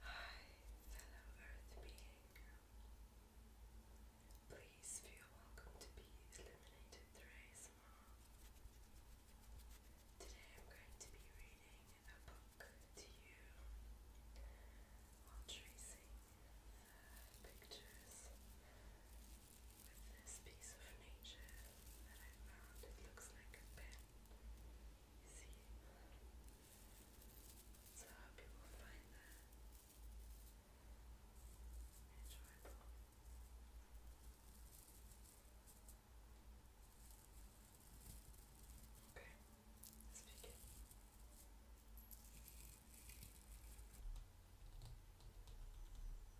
Hi, fellow Earth being. Please feel welcome to be illuminated through ASMR. Today I'm going to be reading a book to you while tracing pictures with this piece of nature that I found. It looks like a pen. You see? So hope you will find that enjoyable. Okay, let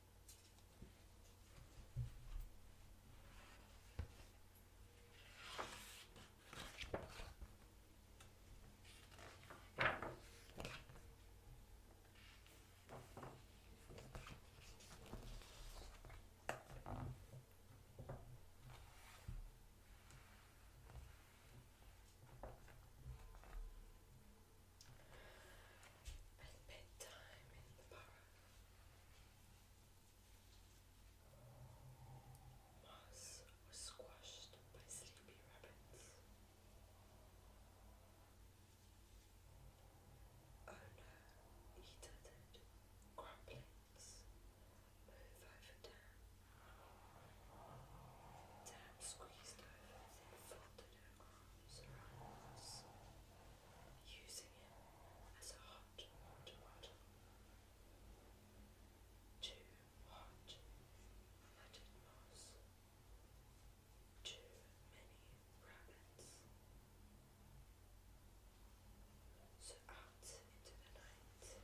Bedtime in the burrow. Moss was squashed by sleepy rabbits. Oh no, he Move over, Dan. Dan squeezed over and folded her arms around us using it as a hot water bottle. Too hot, flooded moss. Too many rabbits. So out into the night he went.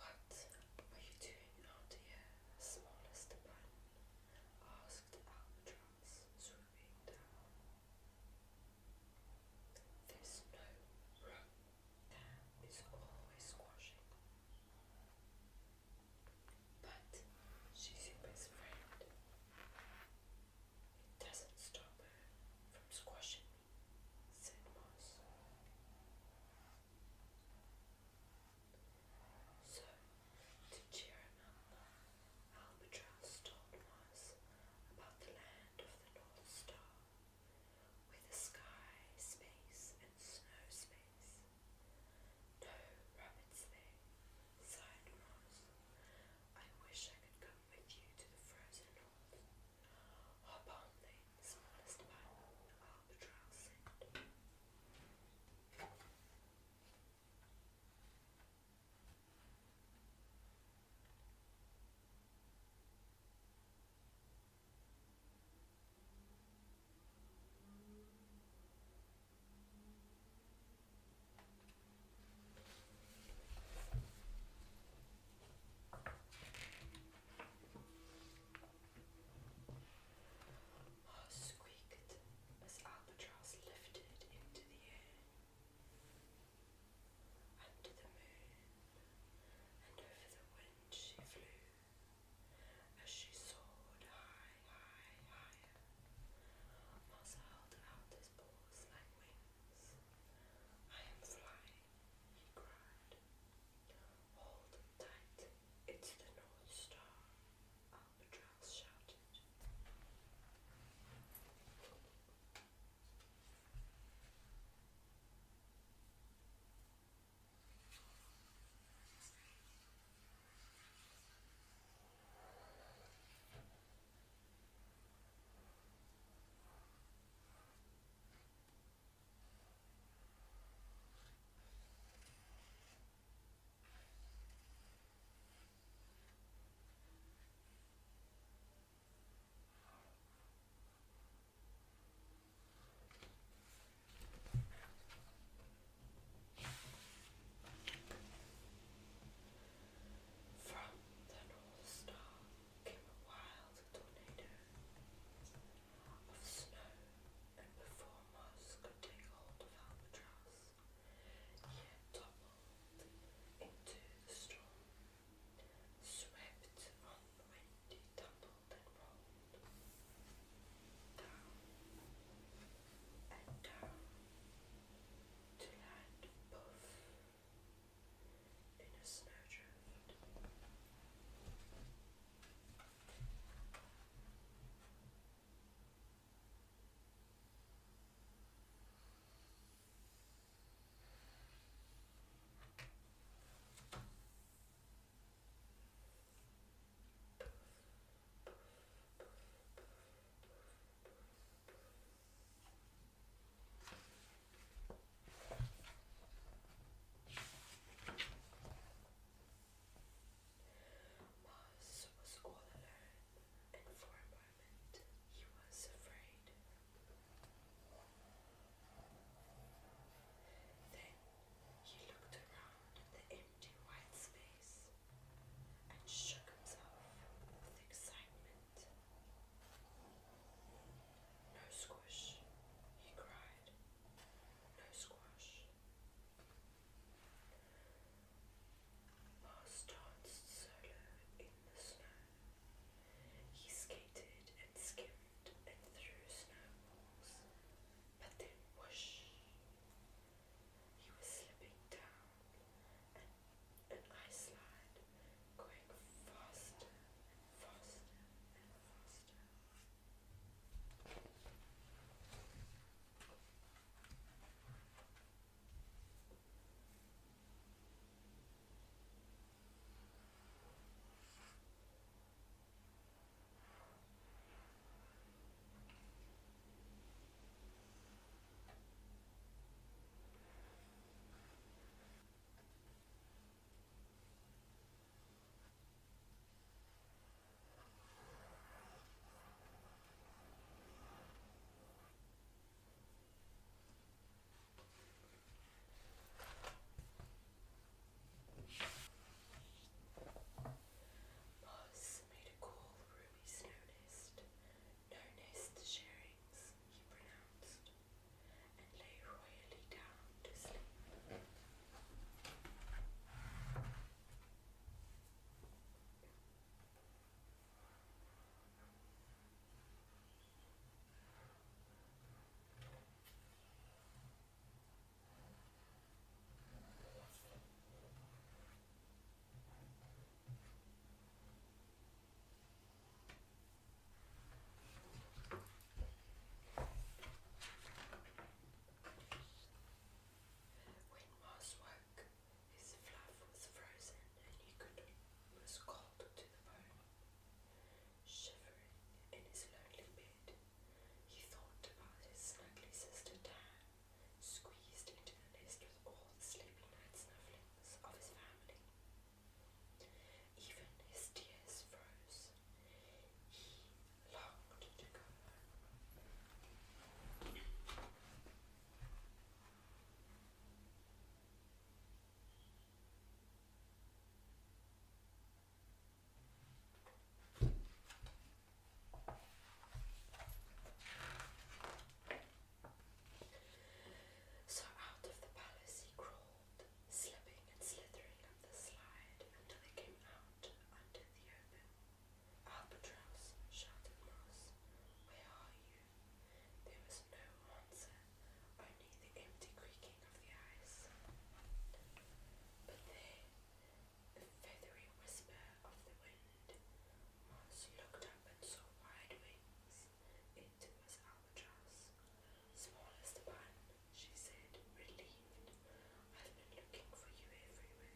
What were you doing out here, smallest man? asked Albatross, swooping down. There's no room. There is always squashing. But she's your best friend. It doesn't stop her from squashing me, said Moss. So, to cheer him up, Albatross told Moss about the land of the North Star, with the sky space and snow No rabbits there, sighed Moss. I wish I could come with you to the frozen north. Hop on the smallest pile, albatross said. Heart squeaked as Albatross lifted into the air, under the moon, and over the wind she flew. As she soared high, high, higher, Moss held out his paws like wings. I am flying, he cried. Hold tight, it's the North Star, Albatross shouted. From the North Star came a wild tornado of snow, and before Moss could take hold of Albatross, he had toppled into the storm, swept on the wind, he tumbled and rolled down and down to land above in a snowdrift. Boss was all alone, and for a moment he was afraid. Then he looked around the empty white space and shook himself with excitement. No squish, he cried. No squash. Mars danced solo in the snow. He skated and skimmed and threw snowballs. But then whoosh! He was slipping down and, and slide, going faster faster and faster. Buzz made a call Ruby's noticed, Lonest Sharings, he pronounced, and lay royally down to sleep. When Mars woke, his fluff was frozen and he was cold to the bone. Shivering in his lonely bed, he thought about his ugly sister Tan, squeezed into the list with all the sleepy night snufflings of his family. Even his tears froze. He longed to go home. So out of the palace he crawled, slipping and slithering up the slide until they came out under the open. Albatross, shouted Moss, where are you? There was no answer, only the empty creaking of the ice. But there, the feathery whisper of the wind. Mons looked up and saw wide wings. It was Albatross. Small as the she said, relieved. I've been looking for you everywhere.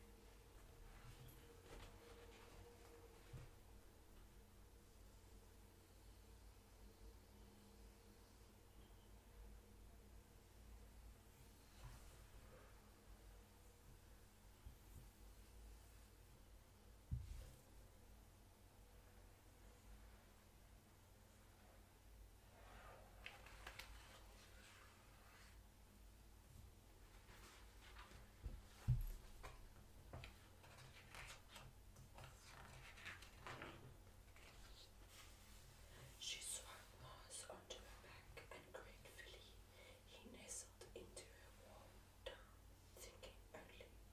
She swung Mars onto her back gratefully he nestled into her warm thinking only of her.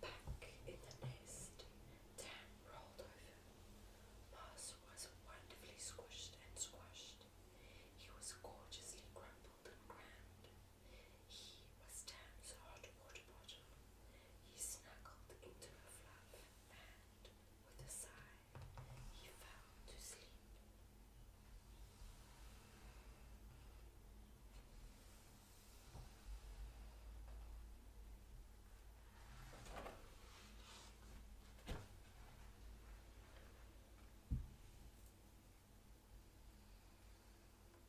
Back in the nest, Dan rolled over. Mars was wonderfully squished and squashed. He was gorgeously crumpled and crammed. He was Dan's hot water bottle. He snuggled into a fluff, and, with a sigh, he fell to sleep.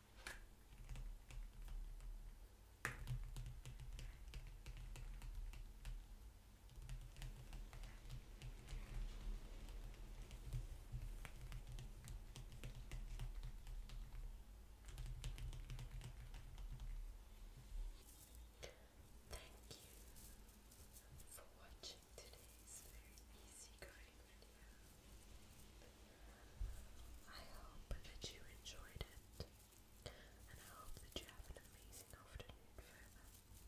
Thank you for watching today's very easygoing video. I hope that you enjoyed it, and I hope that you have an amazing afternoon